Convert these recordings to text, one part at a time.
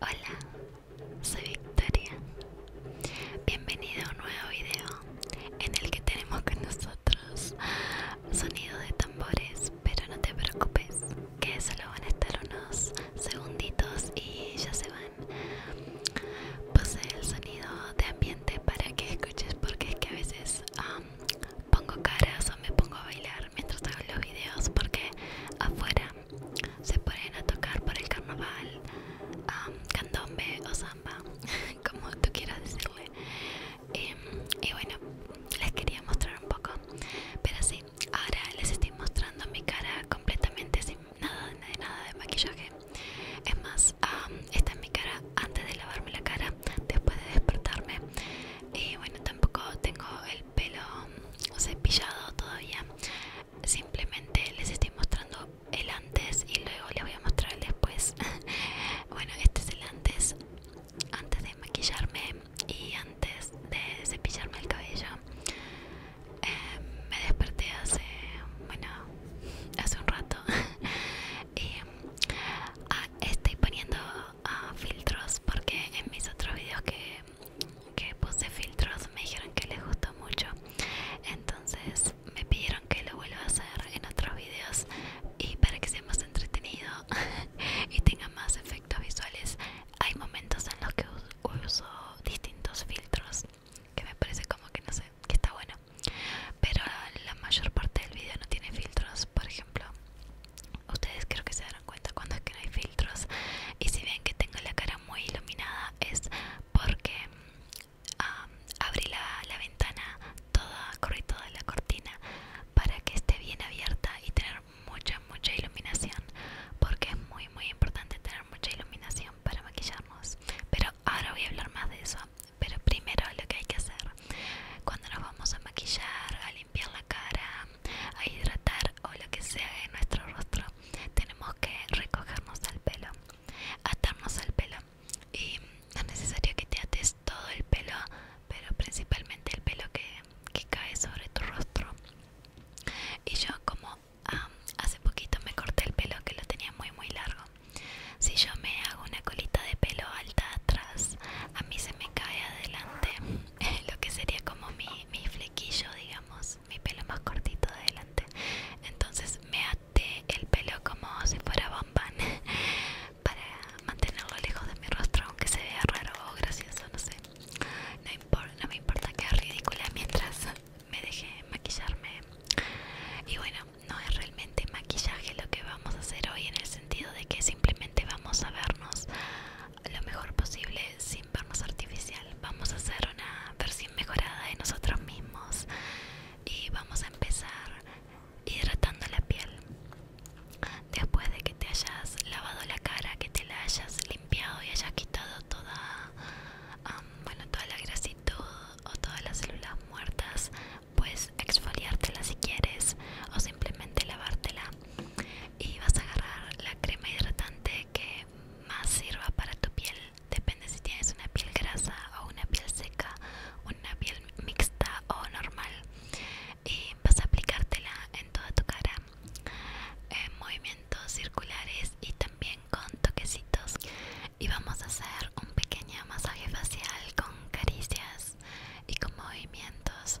Hola, soy Victoria. Bienvenido a un nuevo video en el que tenemos con nosotros sonido de tambores, pero no te preocupes, que solo van a estar unos segunditos y ya se van. Puse el sonido de ambiente para que escuches porque es que a veces pongo caras o me pongo a bailar mientras hago los videos porque afuera se ponen a tocar por el carnaval candombe o samba como tú quieras decirle em, y, bueno les quería mostrar un poco pero sí ahora les estoy mostrando mi cara completamente sin nada de nada de maquillaje es más esta es mi cara antes de lavarme la cara después de despertarme y bueno tampoco tengo el pelo cepillado todavía simplemente les estoy mostrando el antes y luego les voy a mostrar el después bueno este es el antes antes de maquillarme y antes de cepillarme el cabello em, me desperté hace bueno hace un rato y ah, estoy poniendo ah, filtros porque en mis otros videos que que puse filtros me dijeron que les gustó mucho entonces me pidieron que lo vuelva a hacer en otros videos y para que sea más entretenido y tenga más efectos visuales hay momentos en los que uso distintos filtros que me parece como que no sé que está bueno pero la mayor parte del video no tiene filtros por ejemplo ustedes creo que se darán cuenta cuando es que no hay filtros y si ven que tengo la cara muy iluminada es porque abrí la, ventana toda corrí toda la cortina para que esté bien abierta y tener mucha mucha iluminación porque es muy muy importante tener mucha iluminación para maquillarnos pero ahora voy a hablar más de eso pero primero lo que hay que hacer cuando nos vamos a maquillar, a limpiar la cara, a hidratar o lo que sea en nuestro rostro tenemos que recogernos al pelo atarnos al pelo y no es necesario que te ates todo el pelo pero principalmente el pelo que, cae sobre tu rostro y yo como hace poquito me corté el pelo que lo tenía muy muy largo si yo me hago una colita de pelo alta atrás a mí se me cae adelante lo que sería como mi, flequillo, digamos, mi pelo más cortito de adelante. Entonces me até el pelo como si fuera bambán para mantenerlo lejos de mi rostro, aunque se vea raro o gracioso, no sé. No, me importa que sea ridícula mientras me deje maquillarme. Y bueno, no es realmente maquillaje lo que vamos a hacer hoy en el sentido de que simplemente vamos a vernos lo mejor posible sin vernos artificial. Vamos a hacer una versión mejorada de nosotros mismos y vamos a empezar hidratando la piel. Después de que te hayas lavado la cara, que te la hayas limpiado y hayas quitado toda, um, bueno, toda la grasitud o todas las células muertas, puedes exfoliártela si quieres o simplemente lavártela y vas a agarrar la crema hidratante que más sirva para tu piel depende si tienes una piel grasa o una piel seca una piel mixta o normal y vas a aplicártela en toda tu cara en eh, movimientos circulares y también con toquecitos y vamos a hacer un pequeño masaje facial con caricias y con movimientos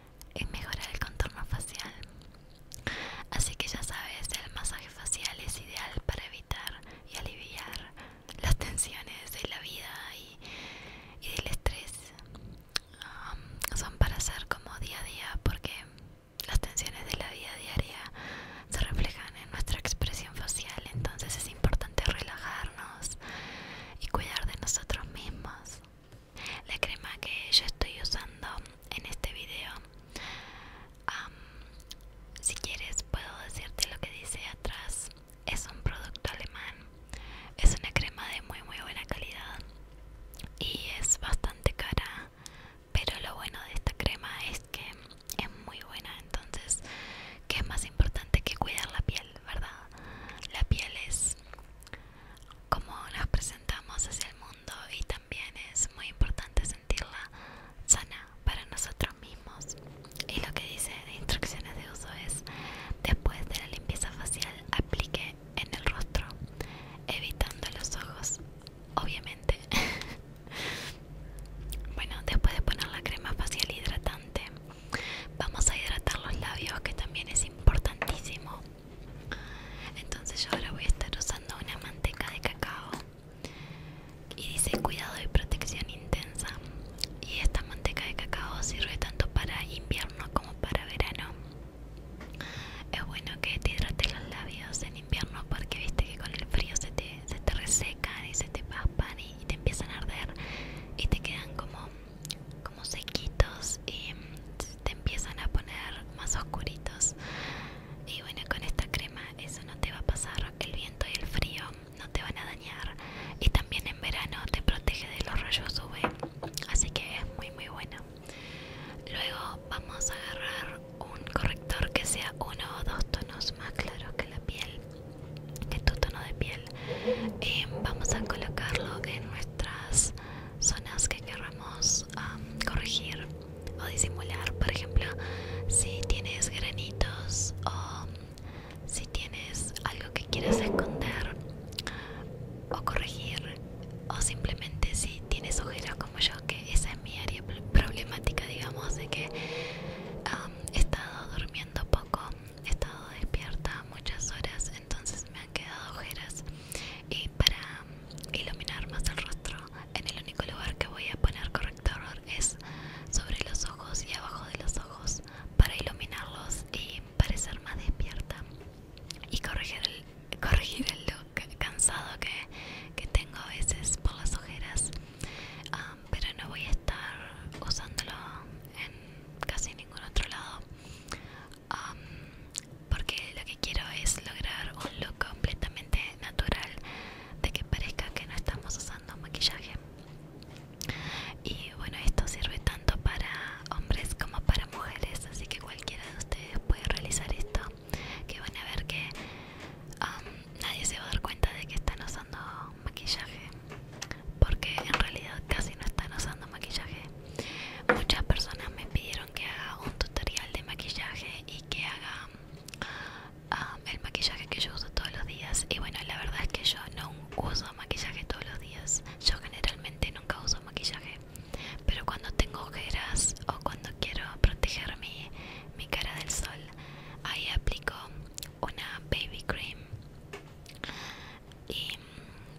es mejorar el contorno facial. Así que ya sabes, el masaje facial es ideal para evitar y aliviar las tensiones de la vida y, del estrés. son para hacer como día a día porque las tensiones de la vida diaria se reflejan en nuestra expresión facial, entonces es importante relajarnos y cuidar de nosotros mismos la crema que yo estoy usando en este video si quieres puedo decirte lo que dice atrás es un producto alemán es una crema de muy muy buena calidad y es bastante cara pero lo bueno de esta crema es que es muy buena entonces que es más importante que cuidar la piel verdad la piel es como nos presentamos hacia el mundo y también es muy importante sentirla sana para nosotros mismos. Y lo que dice de instrucciones de uso es, después de la limpieza facial, aplique en el rostro, evitando los ojos, obviamente. bueno, después de poner la crema facial hidratante, Vamos a hidratar los labios, que también es importantísimo. Entonces yo ahora voy a estar usando una manteca de cacao. Y dice cuidado y protección intensa. Y esta manteca de cacao sirve tanto para invierno como para verano. Es bueno que te hidrates los labios en invierno porque viste que con el frío se te, se resecan y se te papan y te empiezan a arder y te quedan como como sequitos y te empiezan a poner más oscuritos y bueno con esta crema eso no te va a pasar el viento y el frío no te van a dañar y también en verano te protege de los rayos UV así que es muy muy bueno luego vamos a agarrar un corrector que sea uno o dos tonos más claros que la piel que tu tono de piel eh, vamos a colocarlo en nuestras zonas que queramos corregir o disimular por ejemplo si tienes granitos o si tienes algo que quieres esconder o corregir o simplemente si tienes ojeras como yo que esa es mi área problemática digamos de que he estado durmiendo poco he estado despierta muchas horas, entonces me han quedado ojeras y para iluminar más el rostro, en el único lugar que voy a poner corrector es sobre los ojos y abajo de los ojos para iluminarlos y parecer más despierta y corregir el, corregir el look cansado que, que tengo a veces por las ojeras ah, pero no voy a estar usándolo en casi otro lado porque lo que quiero es lograr un look completamente natural de que parezca que no estamos usando maquillaje y bueno esto sirve tanto para hombres como para mujeres así que cualquiera de ustedes puede realizar esto que van a ver que nadie se va a dar cuenta de que están usando maquillaje porque en realidad casi no están usando maquillaje muchas personas me pidieron que haga un tutorial de maquillaje y que haga um, el maquillaje que yo uso todos los días y bueno la verdad es que yo no uso maquillaje todos los días yo generalmente nunca uso maquillaje pero cuando tengo ojeras o cuando quiero proteger mi, mi cara del sol ahí aplico una baby cream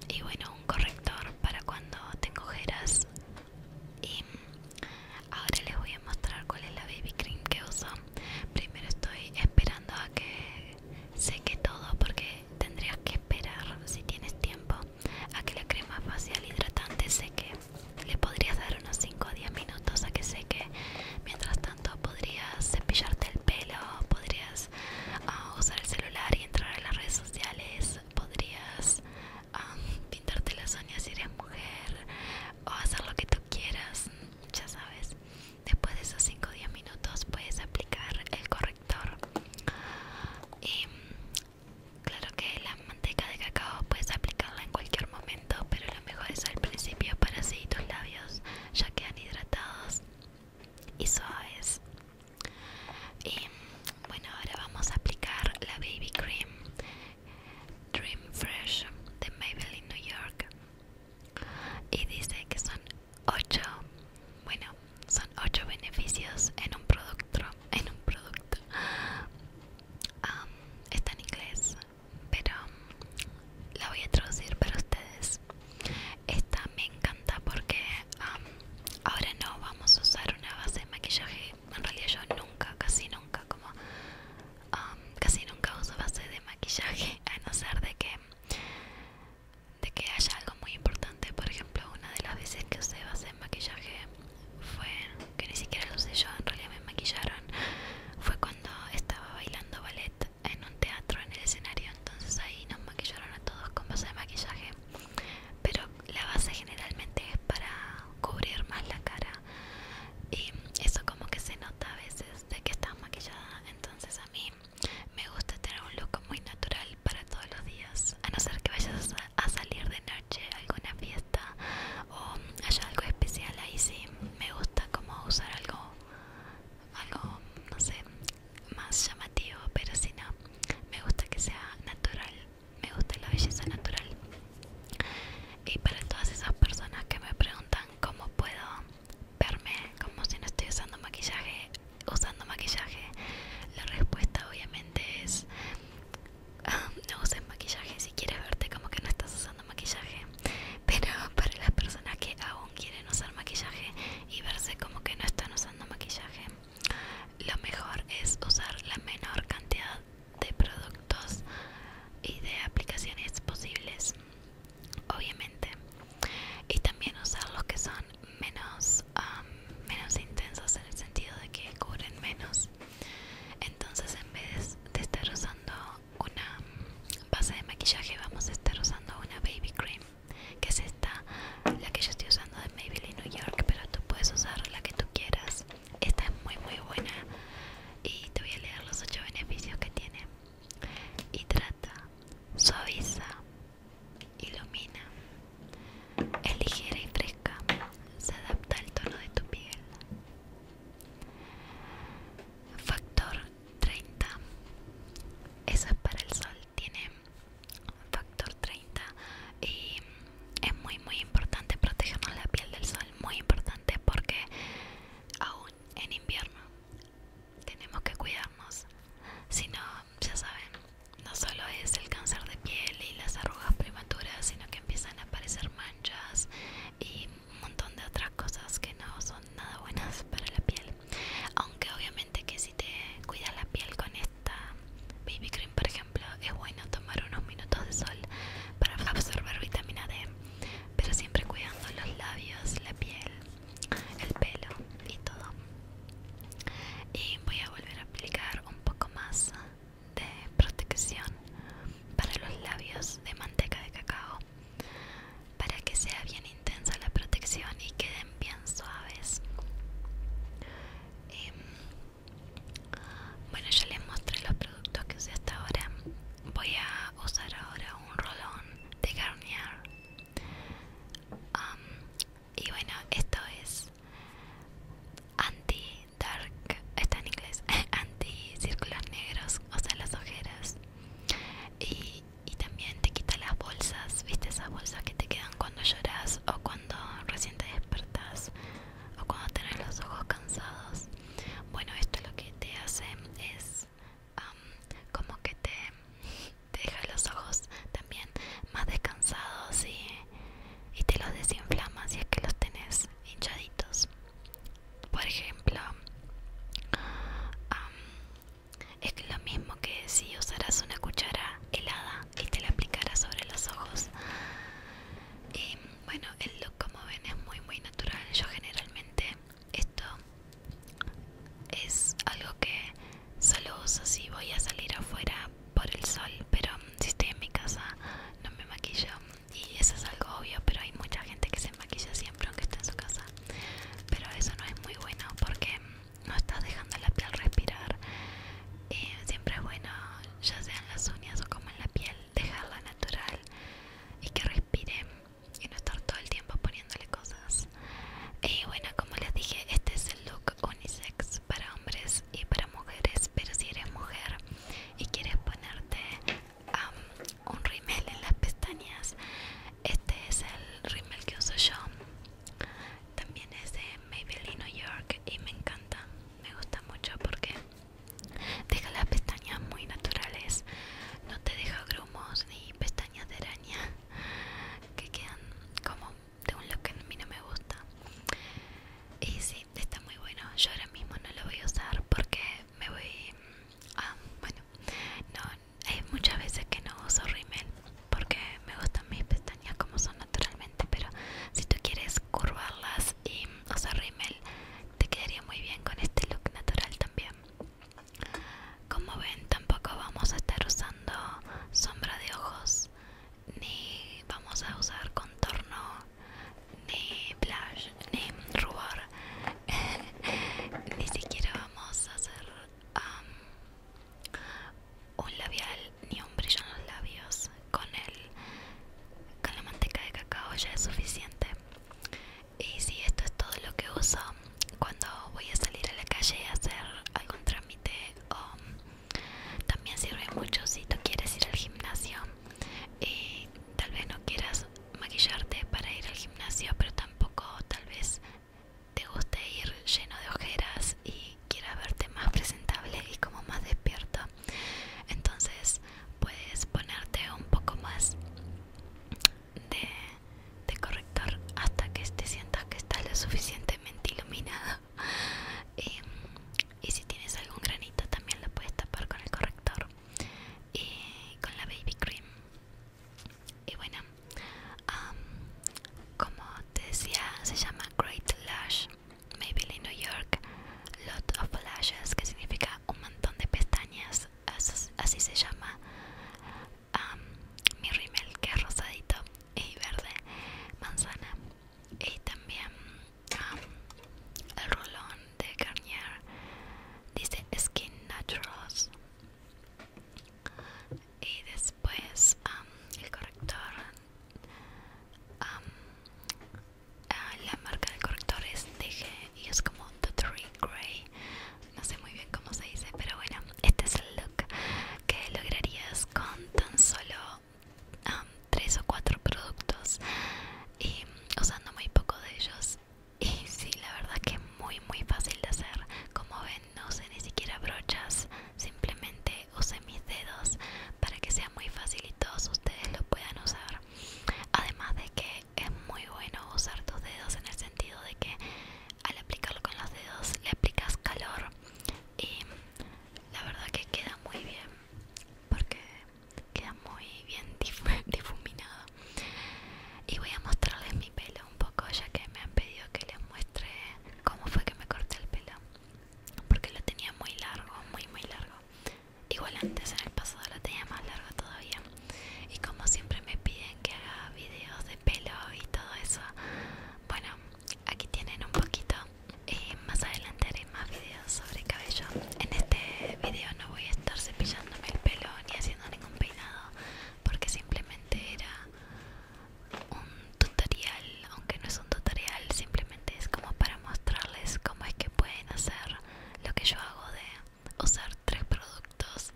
y, bueno un corrector para cuando te ojeras y ahora les voy a mostrar cuál es la baby cream que uso primero estoy esperando a que seque todo porque tendrías que esperar si tienes tiempo a que la crema facial hidratante seque le podrías dar unos 5 o 10 minutos a que seque mientras tanto podrías cepillarte el pelo podrías Ah, usar el celular y entrar a las redes sociales, podrías ah, pintarte las uñas si eres mujer o hacer lo que tú quieras, ya sabes. Después de esos 5 o 10 minutos puedes aplicar el corrector. Y claro que la manteca de cacao puedes aplicarla en cualquier momento, pero lo mejor es al principio para así tus labios ya quedan hidratados y suaves y bueno ahora vamos a aplicar la baby cream dream fresh de maybelline new york y dice que son 8 bueno son 8 beneficios en un producto en un producto está en inglés pero la voy a traducir para ustedes esta me encanta porque ahora no vamos a usar una base de maquillaje. En realidad yo nunca, casi nunca, como casi nunca uso base de maquillaje a no ser de que de que haya algo muy importante. Por ejemplo, una de las veces que usé base de maquillaje fue que ni siquiera lo usé yo. En realidad me maquillaron. Fue cuando estaba bailando ballet en un teatro en el escenario entonces ahí nos maquillaron a todos con base de maquillaje pero la base generalmente es para cubrir más la cara y eso como que se nota a veces de que estás maquillada entonces a mí me gusta tener un look muy natural para todos los días a no ser que vayas a salir de noche a alguna fiesta o haya algo especial ahí sí me gusta como usar algo algo, no sé, más llamativo, pero si no, me gusta que sea natural, me gusta la belleza natural. Y para todas esas personas que me preguntan cómo puedo verme como si no estoy usando maquillaje, usando maquillaje, la respuesta obviamente es no uses maquillaje si quieres verte como que no estás usando maquillaje pero para las personas que aún quieren usar maquillaje y verse como que no están usando maquillaje lo mejor es usar la menor cantidad de productos y de aplicaciones posibles obviamente y también usar los que son menos menos intensos en el sentido de que cubren menos entonces en vez de estar usando una base de maquillaje vamos a estar usando una baby cream que es esta la que yo estoy usando de Maybelline New York pero tú puedes usar la que tú quieras esta es muy muy buena y te voy a leer los 8 beneficios que tiene hidrata suaviza ilumina es ligera y fresca se adapta al tono de tu piel factor 30 eso es para el sol tiene factor 30 y es muy muy importante protegernos la piel del sol muy importante porque aún en invierno tenemos que cuidarnos si no ya saben no solo es el cáncer de piel y las arrugas prematuras sino que empiezan a aparecer manchas y un montón de otras cosas que no son nada buenas para la piel aunque obviamente que si te cuidas la piel con esta baby cream por ejemplo es bueno tomar unos minutos de sol para absorber vitamina D pero siempre cuidando los labios la piel el pelo y todo y voy a volver a aplicar un poco más de protección para los labios de manteca de cacao para que sea bien intensa la protección y queden bien suaves em, bueno ya les mostré los productos que usé hasta ahora voy a usar ahora un rolón de Garnier y bueno esto es anti dark está en inglés anti círculos negros o sea las ojeras y, también te quita las bolsas, viste esas bolsas que te quedan cuando lloras o cuando recién te despertas o cuando tenés los ojos cansados. Bueno, esto lo que te hace es como que te, te deja los ojos también más descansados y, y te los desinflama si es que los tenés hinchaditos por ejemplo es lo mismo que si usaras una cuchara helada y te la aplicaras sobre los ojos y eh, bueno el look como ven es muy muy natural yo generalmente esto es algo que solo uso si voy a salir afuera por el sol pero si estoy en mi casa no me maquillo y eso es algo obvio pero hay mucha gente que se maquilla siempre aunque esté en su casa pero eso no es muy bueno porque no estás dejando la piel respirar y eh, siempre es bueno ya sea en las uñas o como en la piel dejarla natural y que respire y no estar todo el tiempo poniéndole cosas y bueno como les dije este es el look unisex para hombres y para mujeres pero si eres mujer y quieres ponerte Um, un rímel en las pestañas este es el rimel que uso yo también es de Maybelline New York y me encanta me gusta mucho porque deja las pestañas muy naturales no te deja grumos ni pestañas de araña que quedan como de un look que a mí no me gusta y si, está muy bueno yo ahora mismo no lo voy a usar porque me voy ah, bueno no hay muchas veces que no uso rímel porque me gustan mis pestañas como son naturalmente pero si tú quieres curvarlas y usar rímel te quedaría muy bien con este look natural también como ven tampoco vamos a estar usando sombra de ojos ni vamos a usar contorno ni blush ni rubor ni siquiera vamos a hacer un labial ni un brillo en los labios con la manteca de cacao ya es suficiente y si esto es todo lo que uso cuando voy a salir a la calle a hacer algún trámite también sirve mucho si tú quieres ir al gimnasio y tal vez no quieras maquillarte para ir al gimnasio, pero tampoco tal vez te guste ir lleno de ojeras y quiera verte más presentable y como más despierto. Entonces puedes ponerte un poco más de, corrector hasta que te sientas que estás lo suficientemente iluminado. Em, y si tienes algún granito también lo puedes tapar con el corrector y eh, con la baby cream y bueno como te decía se llama Great Lash Maybelline New York Lot of Lashes que significa un montón de pestañas así, se llama mi rímel que es rosadito y verde manzana y también el rolón de Garnier dice Skin Naturals y después el corrector ah, la marca del corrector es DG y es como Three Grey no sé muy bien cómo se dice pero bueno este es el look que lograrías con tan solo tres o cuatro productos y usando muy poco de ellos y sí la verdad que muy muy fácil de hacer como ven no usé ni siquiera brochas simplemente usé mis dedos para que sea muy fácil y todos ustedes lo puedan usar además de que es muy bueno usar tus dedos en el sentido de que al aplicarlo con los dedos le aplicas calor y la verdad que queda muy bien porque queda muy bien difuminado y voy a mostrarles mi pelo un poco ya que me han pedido que les muestre cómo fue que me corté el pelo porque lo tenía muy largo muy muy largo igual antes en el pasado lo tenía más largo todavía y como siempre me piden que haga videos de pelo y todo eso bueno aquí tienen un poquito eh, más adelante haré más videos sobre cabello En este video no voy a estar cepillándome el pelo ni haciendo ningún peinado Porque simplemente era un tutorial Aunque no es un tutorial, simplemente es como para mostrarles cómo es que pueden hacer lo que yo hago de usar tres productos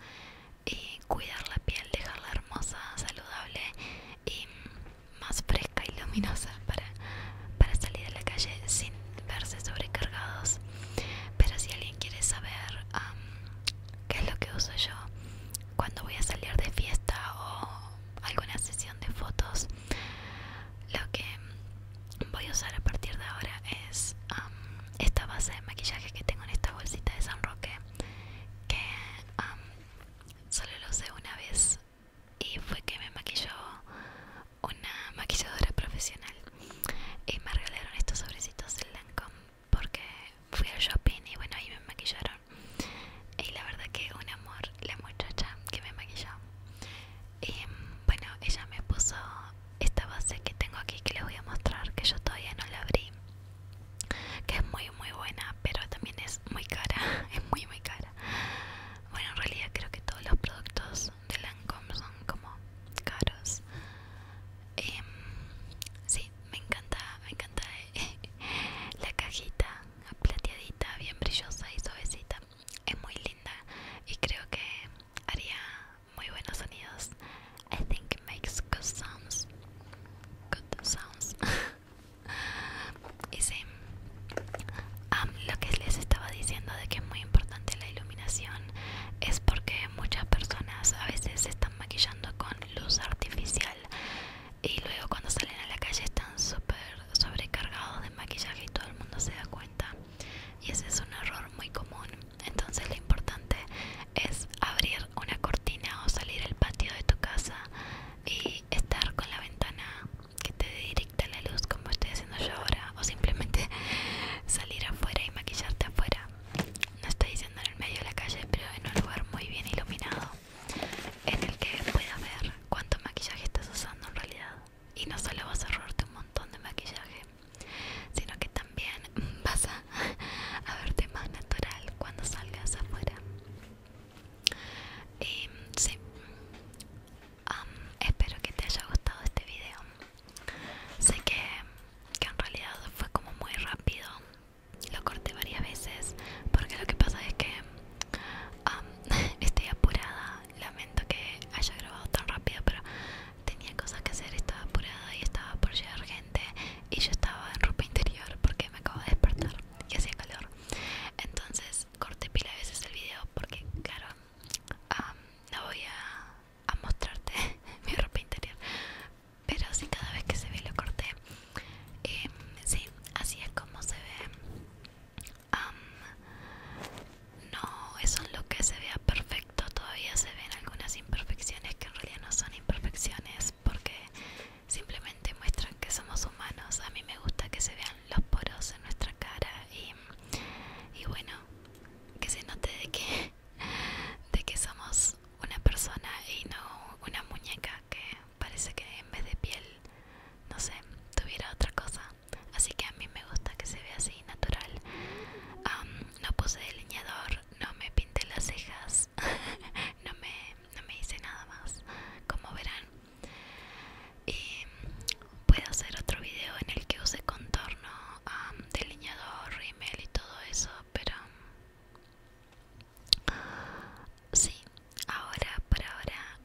y cuidar la piel, dejarla hermosa, saludable y más fresca y luminosa para, para salir a la calle sin verse sobrecargados pero si alguien quiere saber qué es lo que uso yo cuando voy a salir de fiesta o alguna sesión de fotos, lo que voy a usar a partir de ahora es esta base de maquillaje que tengo en esta bolsita de San Roque, que solo lo usé una vez y fue que me maquilló una maquilladora profesional y me regalaron estos sobrecitos en Lancome porque fui al shopping y bueno ahí me maquillaron y la verdad que un amor la muchacha que me maquilló y mm, bueno ella me puso esta base que tengo aquí que les voy a mostrar que yo todavía no la abrí que es muy muy buena pero también es muy cara es muy muy cara bueno en realidad creo que todos los productos de Lancome son como caros em, sí me encanta me encanta eh, la cajita plateadita bien brillosa y suavecita es muy linda y creo que haría muy buenos sonidos I think it makes good sounds good sounds y sí lo que les estaba diciendo de que es muy importante la iluminación es porque muchas personas a veces se están maquillando con luz artificial y luego cuando salen a la calle están súper sobrecargados de maquillaje y todo el mundo se da cuenta y ese es un error muy común entonces lo importante es abrir una cortina o salir el patio de tu casa y estar con la ventana que te dé la luz como estoy haciendo yo ahora o simplemente salir afuera y maquillarte afuera no estoy diciendo en el medio de la calle pero en un lugar muy bien iluminado en el que pueda ver cuánto maquillaje estás usando en realidad y no solo vas a ahorrarte un montón de maquillaje sino que también vas a, verte más natural cuando salgas afuera em, sí espero que te haya gustado este video sé que, en realidad fue como muy rápido lo corté varias veces porque lo que pasa es que estoy apurada lamento que haya grabado tan rápido pero tenía cosas que hacer estaba apurada y estaba por llegar gente y yo estaba en ropa interior porque me acabo de despertar y hacía calor entonces corté pila veces el video porque claro no voy a, mostrarte mi ropa interior pero sí cada vez que se ve lo corté y em, sí así es como se ve no es lo que se vea perfecto todavía se ven algunas imperfecciones que en realidad no son imperfecciones porque simplemente muestran que somos humanos a mí me gusta que se vean los poros en nuestra cara y bueno que se note de que de que somos una persona y no una muñeca que parece que en vez de piel no sé tuviera otra cosa así que a mí me gusta que se vea así natural no puse delineador no me pinté las cejas no me no me hice nada más como verán y puedo hacer otro video en el que use contorno delineador rímel y todo eso pero sí ahora por ahora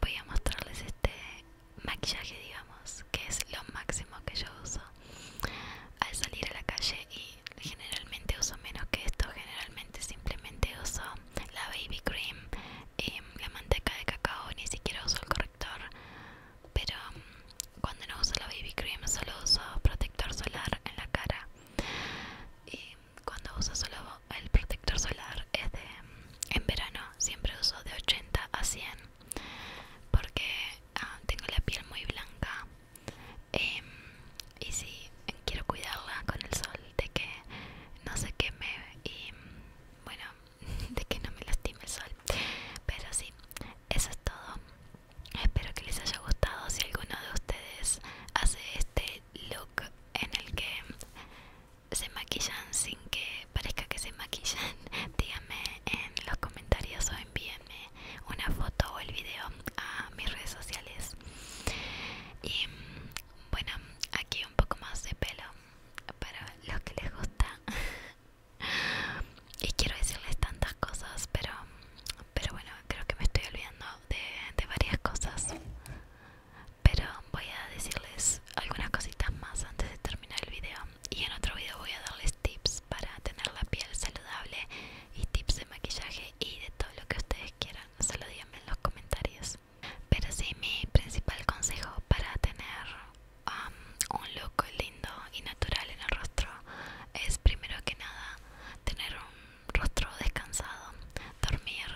voy a mostrarles este maquillaje digamos que es lo máximo que yo uso al salir a la calle y generalmente uso menos que esto generalmente simplemente uso la baby cream la manteca de cacao ni siquiera uso el corrector pero cuando no uso la baby cream solo uso protector solar en la cara y cuando uso solo el protector solar es de en verano siempre uso de 80 a 100 porque ah, tengo la piel muy blanca em, y si quiero cuidarla con el sol de que no se queme y bueno de que no me lastime el sol pero sí eso es todo espero que les haya gustado si alguno de ustedes hace este look en el que se maquillan sin que parezca que se maquillan díganme en los comentarios o envíenme una foto o el video a mis redes sociales y mm, bueno aquí un poco más de pelo para los que les gusta y quiero decirles tantas cosas pero pero bueno creo que me estoy olvidando de, varias cosas pero voy a decirles algunas cositas más antes de terminar el video y en otro video voy a darles tips para tener la piel saludable y tips de maquillaje y de todo lo que ustedes quieran solo díganme en los comentarios pero sí, mi principal consejo para tener un look lindo y natural en el rostro es primero que nada tener un rostro descansado, dormir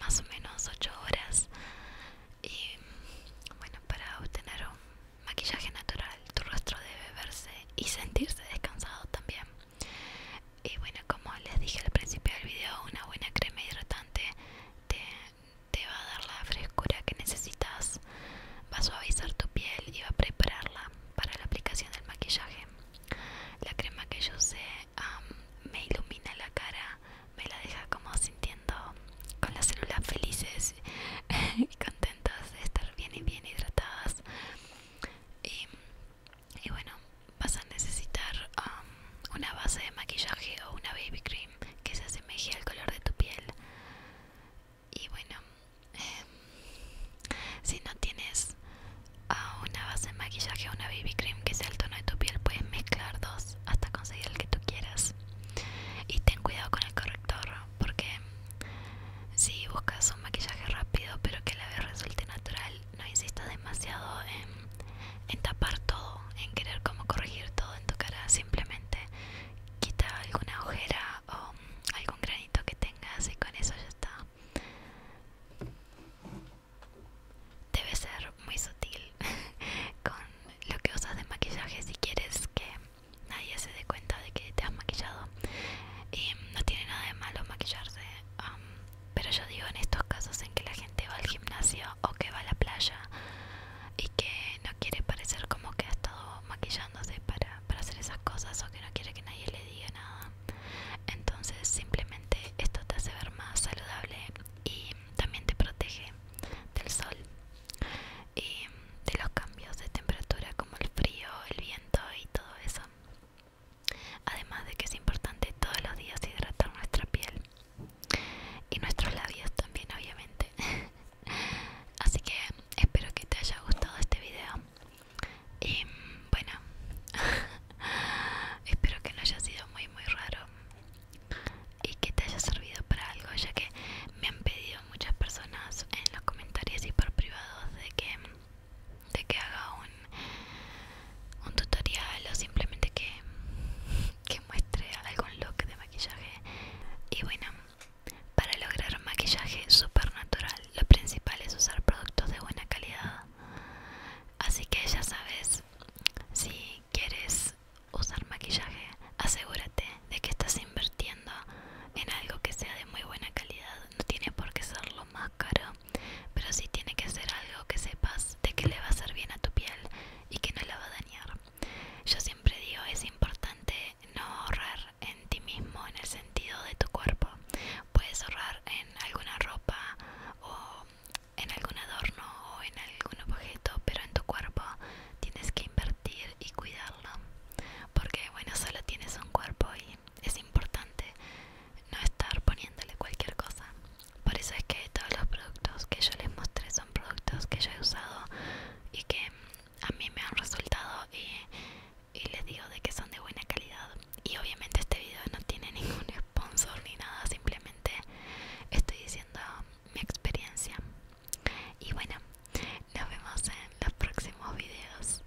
más o menos 8 horas y bueno, para obtener un maquillaje natural tu rostro debe verse y sentirse descansado también. Y bueno, como les dije al principio del video, una buena crema hidratante te te va a dar la frescura que necesitas, va a suavizar tu piel y va a prepararla para la aplicación del maquillaje. La crema que yo sé me ilumina la cara, me la deja como sintiendo con las células felices y contentas de estar bien y bien hidratadas. y bueno, vas a necesitar um, una base de maquillaje o una baby cream que se asemeje al color de tu piel y bueno eh, si no tienes ah, una base de maquillaje o una baby cream que sea el tono de tu piel puedes mezclar dos hasta conseguir el que tú quieras y ten cuidado con el corrector porque si buscas un maquillaje rápido pero que a la vez resulte natural no insistas demasiado en, tapar todo, en querer como corregir todo en tu cara, simplemente quita alguna ojera o algún granito que tengas y con eso ya está. Debe ser muy sutil con lo que usas de maquillaje si quieres que nadie se dé cuenta de que te has maquillado. Y no tiene nada de malo maquillarse. Pero yo digo en estos casos en que la gente va al gimnasio o que va a la playa y que no quiere parecer como que ha estado maquillándose para, hacer esas cosas o que no quiere que nadie le diga nada. Entonces simplemente esto te hace ver más saludable y también te protege del sol y de los cambios de temperatura como el frío, el viento y todo eso. Además de que es importante todos los días hidratar nuestra piel y nuestros labios también obviamente así que espero que te haya gustado este video y bueno espero que no haya sido muy muy raro y que te haya servido para algo ya que me han pedido muchas personas en los comentarios y por privados de que de que haga un un tutorial o simplemente que, muestre algún look de maquillaje y bueno para lograr maquillaje super natural lo principal es usar productos de buena calidad así que ya sabes si quieres usar maquillaje asegúrate de que estás invirtiendo en algo que sea de muy buena calidad no tiene por qué ser lo más caro pero si tiene que ser algo que sepas de que le va a hacer bien a tu piel y que no la va a dañar. Yo siempre digo, es importante no ahorrar en ti mismo en el sentido de tu cuerpo. Puedes ahorrar en alguna ropa o en algún adorno o en algún objeto, pero en tu cuerpo tienes que invertir y cuidarlo. Porque bueno, solo tienes un cuerpo y es importante no estar poniéndole cualquier cosa. Por eso es que todos los productos que yo les mostré son productos que yo he usado y que a mí me han resultado y, les digo de que son de buena calidad. Y obviamente este video no tiene ningún sponsor ni nada, simplemente estoy diciendo mi experiencia. Y bueno, nos vemos en los próximos videos.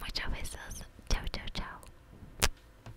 muchas besos. Chao, chao, chao.